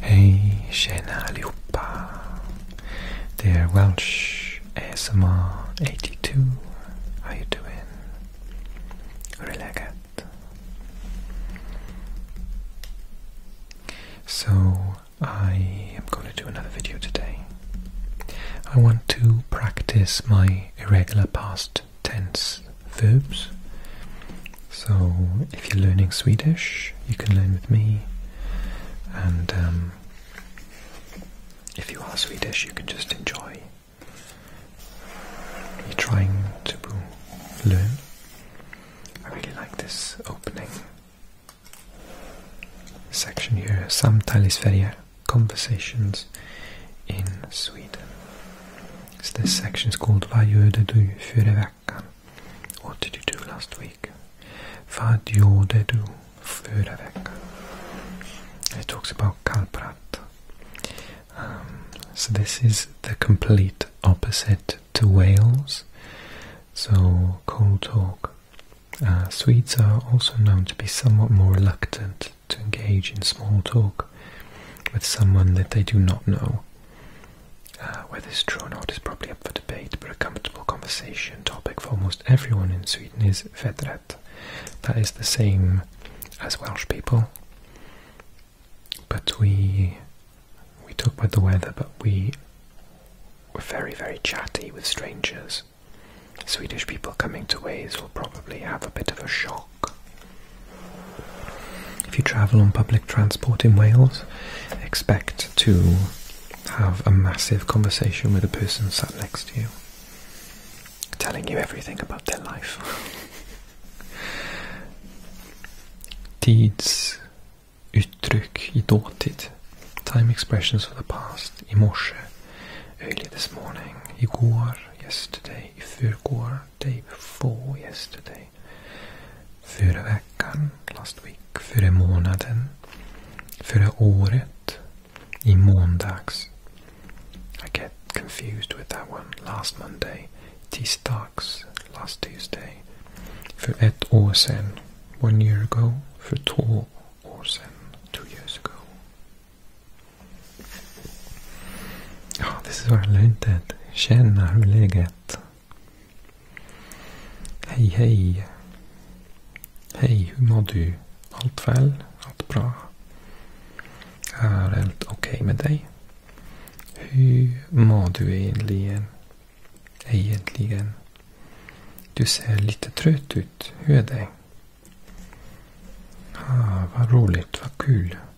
Hey Shana Liupa, dear Welsh ASMR82, how you doing? Relaxed. So I am going to do another video today. I want to practice my irregular past tense verbs. So if you're learning Swedish, you can learn with me. And um, if you are Swedish, you can just enjoy. You're trying to learn. I really like this opening section here. Samtalisferia, conversations in Sweden. So this section is called Vad gör du för what did you do last week? Vad gjorde du förra veckan? It talks about kalprat. Um, so this is the complete opposite to Wales. So cold talk. Uh, Swedes are also known to be somewhat more reluctant to engage in small talk with someone that they do not know. Uh, whether it's true or is probably up for debate, but a comfortable conversation topic for almost everyone in Sweden is vedret. That is the same as Welsh people, but we we talk about the weather, but we were very very chatty with strangers. Swedish people coming to Wales will probably have a bit of a shock if you travel on public transport in Wales, expect to have a massive conversation with a person sat next to you, telling you everything about their life. Deeds, uttryck i dåtid, time expressions of the past, i morse, early this morning, igår, yesterday, i förrgår, day before yesterday. mig före veckan, last week, före månaden, Förra året, i måndags. I get confused with that one. Last Monday, tisdags, last Tuesday. För ett år sedan, one year ago, för två år sedan, two years ago. Ja, det är så jag inte känna hur läget är. Hej hej. Hej, hur mår du? Allt väl? Allt bra? Är allt okej okay med dig? Hur mår du egentligen? Egentligen? Du ser lite trött ut. Hur är det? Ah, vad roligt, vad kul.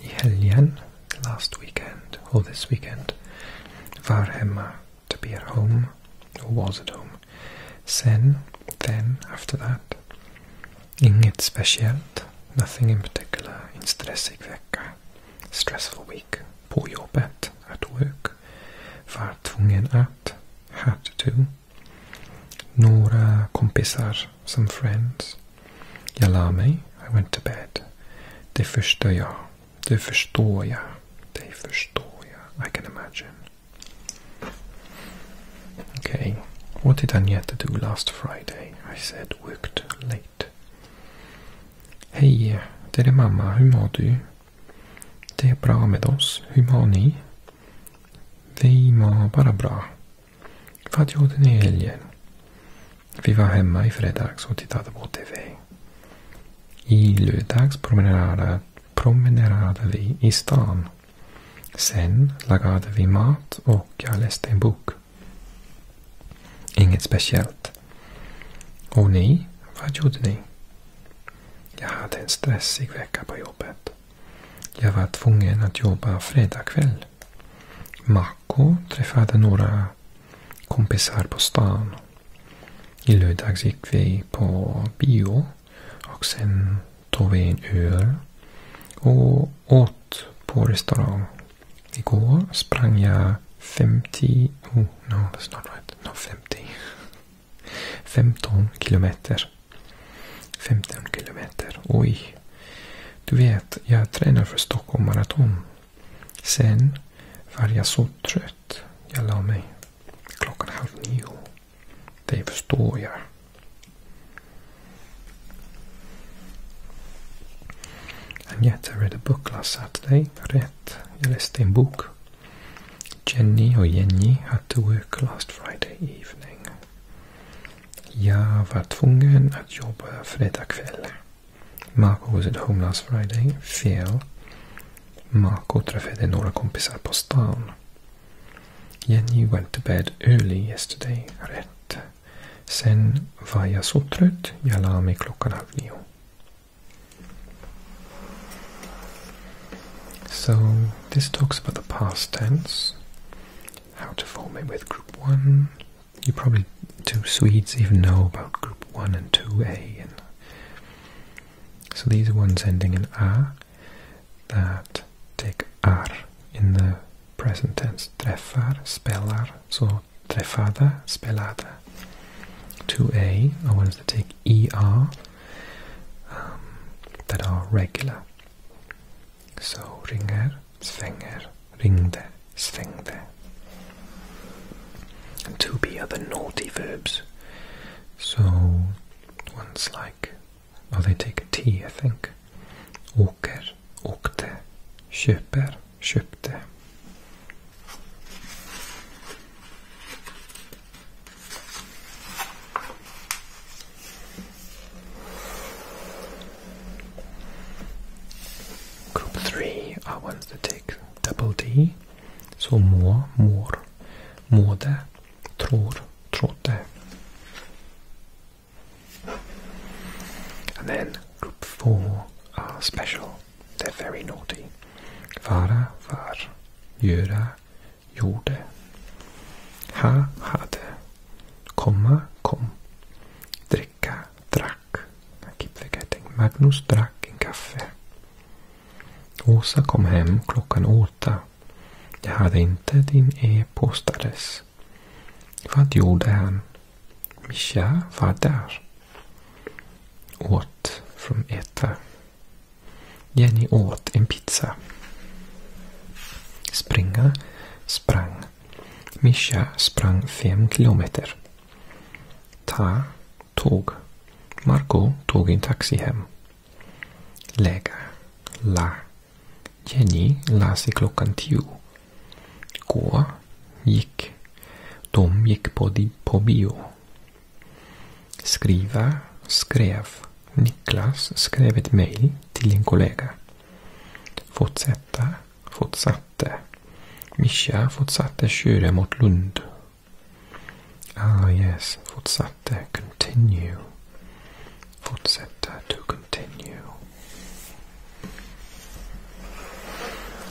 i helgen, last weekend or this weekend, var hemma to be at home, or was at home. Sen, then, after that, inget speciellt, nothing in particular, In stressig vecka, stressful week, på jobbet, at work, var tvungen att, had to, några kompisar some friends. me. I went to bed. Det förstår jag. Det förstår jag. Det förstår jag. I can imagine. Okay. What did Agneta do last Friday? I said worked late. Hey, det är mamma. Hur mår du? Det är bra med oss. Hur mår ni? Vi Vad gjorde ni i helgen? Vi var hemma i fredags och tittade på TV. I lördags promenerade, promenerade vi i stan. Sen lagade vi mat och jag läste en bok. Inget speciellt. Och ni? Vad gjorde ni? Jag hade en stressig vecka på jobbet. Jag var tvungen att jobba fredag kväll. Marco träffade några kompisar på stan. I lördags gick vi på bio och sen tog vi en öl och åt på restaurang. Igår sprang jag 50... Oh, no, that's not right. No, 50. 15 kilometer. 15 kilometer. Oj! Du vet, jag tränar för Stockholm Marathon. Sen var jag så trött. Jag la mig klockan halv nio. Det förstår jag. Agneta read a book last Saturday. Rätt. Jag läste en bok. Jenny och Jenny had to work last Friday evening. Jag var tvungen att jobba fredag kväll. Makohuset Homelands Friday fel. Mako träffade några kompisar på stan. Jenny went to bed early yesterday. Rätt. Sen var jag så trött, jag la mig klockan halv nio. So, this talks about the past tense. how to form it with group 1. You probably, two Swedes, even know about group 1 and 2a. so these ones ending in a that take ar in the present tense. Träffar, spelar, so träffada, spelada. 2a are ones that take er that are regular. So, ringer, svänger, ringde, svängde. And to be other naughty verbs. So ones like, oh, they take tea, I think. Åker, åkte. Köper, köpte. Group 3 are ones that take double D, so more, more, more mårde, tror, trådde. And then group 4 are special, they're very naughty. Vara, var, göra, gjorde. Ha, hade. Komma kom. Dricka drack. I keep forgetting. Magnus drack en kaffe. Åsa kom hem klockan åtta. Jag hade inte din e-postadress. Vad gjorde han? Mischa var där. Åt från äta. Jenny åt en pizza. Springa, sprang. Mischa sprang fem kilometer. Ta tåg. Marco tog en taxi hem. Lägga. La. Jenny la sig klockan tio. Gå. Gick. De gick på, di, på bio. Skriva. Skrev. Niklas skrev ett mejl till en kollega. Fortsätta, fortsatte. Mischa fortsatte köra mot Lund. Ah yes, fortsatte, continue. Fortsätta, to continue.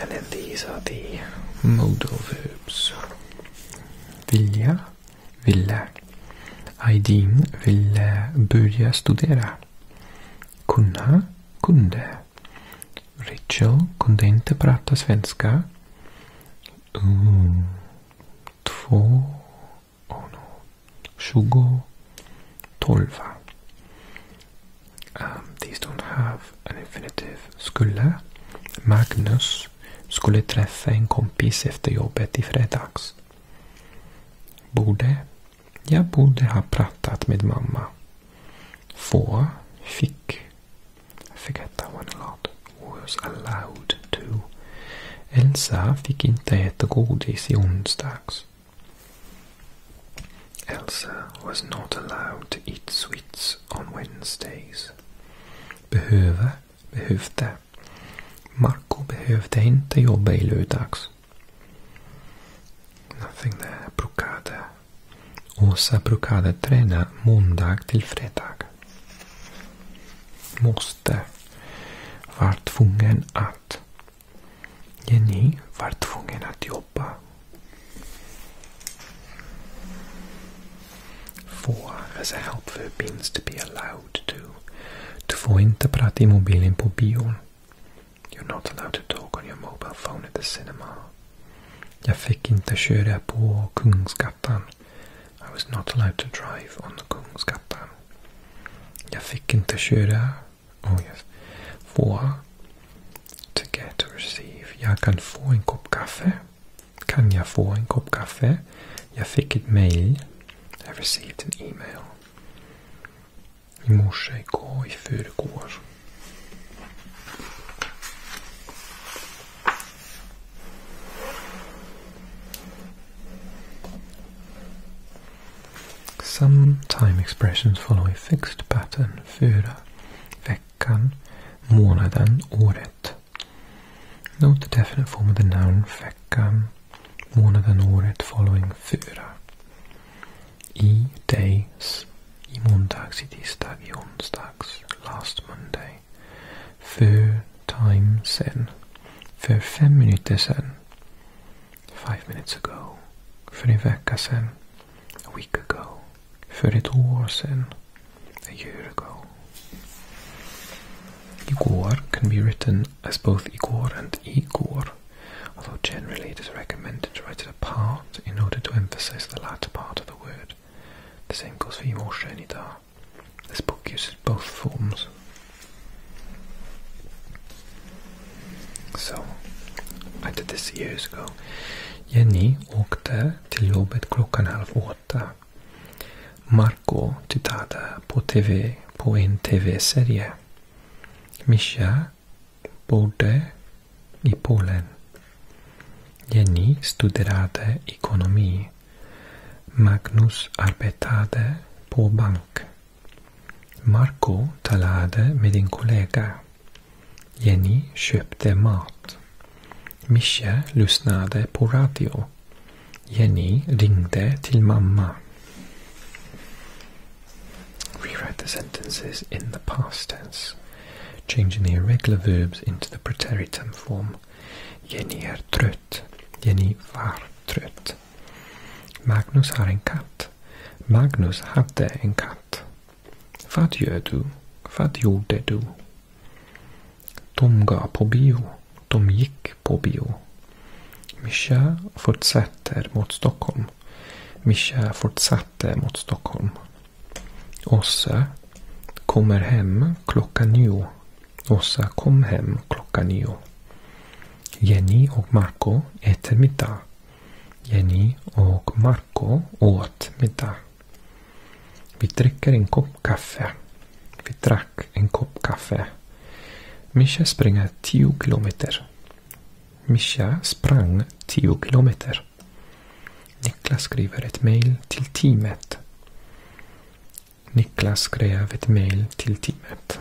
And then these are the modal verbs. Vilja, ville. Aydin ville börja studera. Kunna kunde. Rachel kunde inte prata svenska. Mm. Två... Oh no. Tjugo... Tolva. Um, these don't have an infinitive. Skulle. Magnus skulle träffa en kompis efter jobbet i fredags. Borde jag borde ha pratat med mamma. For fick. I forget that one a lot. Was allowed to. Elsa fick inte äta godis i onsdags. Elsa was not allowed to eat sweets on Wednesdays. Behöva, behövde. Marco behövde inte jobba i lördags. Nothing there. Brukade. Åsa brukade träna måndag till fredag. Måste. Var tvungen att. Jenny var tvungen att jobba. Får, as a help verb means to be allowed to. Du får inte prata i mobilen på bion. You're not allowed to talk on your mobile phone at the cinema. Jag fick inte köra på Kungsgatan. I was not allowed to drive on the Kungsgatan. Jag fick inte köra. Oh yes. Få. To get to receive. Jag kan få en kopp kaffe. Kan jag få en kopp kaffe? Jag fick ett mail. I received an email. Some time expressions follow a fixed pattern. Fyra, veckan, månaden, året. Note the definite form of the noun veckan, one of the året, following, fyra. I days, i am on måndags, i tisdag, on onsdags, last Monday. För time sen. För fem minuter sen. Five minutes ago. För en vecka sen. A week ago. För ett år sen. A year ago. Igor can be written as both Igor and Igor, although generally it is recommended to write it apart in order to emphasize the latter part of the word. The same goes for Imoshenitar. This book uses both forms. So, I did this years ago. Jenny åkte till jobbet klockan halv åtta. Marco tittade på TV på en TV-serie. Misia bodde i Polen. Jenny studerade ekonomi. Magnus arbetade på bank. Marco talade med en kollega. Jenny köpte mat. Mischa lyssnade på radio. Jenny ringde till mamma. Rewrite the sentences in the past tense, changing the irregular verbs into the preteritum form. Jenny är er trött. Jenny var trött. Magnus har en kat. Magnus hade en kat. Vad gör du? Vad gjorde du? De går på bio. De gick på bio. Mischa fortsätter mot Stockholm. Mischa fortsatte mot Stockholm. Åsa kommer hem klockan nio. Åsa kom hem klockan nio. Jenny och Marco äter middag. Jenny och Marco åt middag. Vi dricker en kopp kaffe. Vi drack en kopp kaffe. Mischa springer tio kilometer. Mischa sprang 10 kilometer. Niklas skriver ett mejl till teamet. Niklas skrev ett mejl till teamet.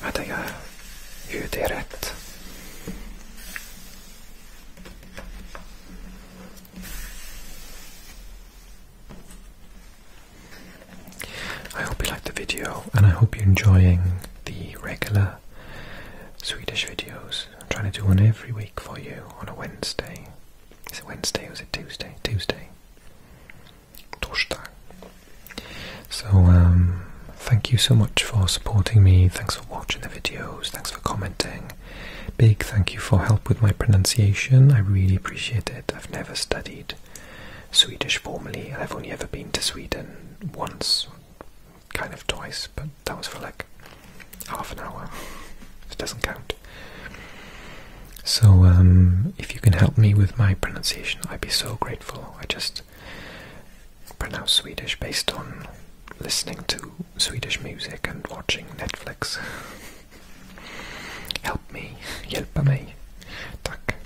Hade jag ju det rätt? I hope you liked the video and I hope you're enjoying the regular Swedish videos. I'm trying to do one every week for you on a Wednesday. Is it Wednesday or is it Tuesday? Tuesday. Torsdag. So, um, thank you so much for supporting me. Thanks for watching the videos. Thanks for commenting. Big thank you for help with my pronunciation. I really appreciate it. I've never studied Swedish formally, and I've only ever been to Sweden once, kind of twice, but that was for like half an hour. It doesn't count. So, um, if you can help me with my pronunciation, I'd be so grateful. I just pronounce Swedish based on listening to Swedish music and watching Netflix. help me, help me, Tack.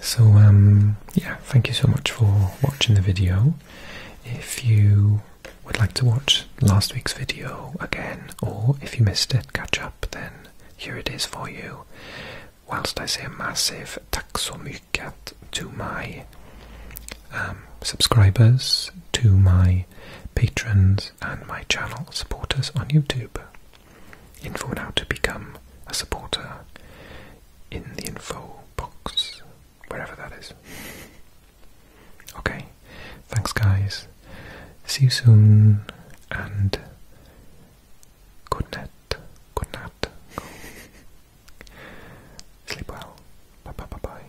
So, um, yeah, thank you so much for watching the video. If you would like to watch last week's video again, or if you missed it, catch up, then here it is for you. Whilst I say a massive tack so to my um, subscribers, to my patrons and my channel supporters on YouTube. Info on how to become a supporter in the info box, wherever that is. Okay, thanks guys. See you soon and good night. Good night. Sleep well. Bye bye bye bye.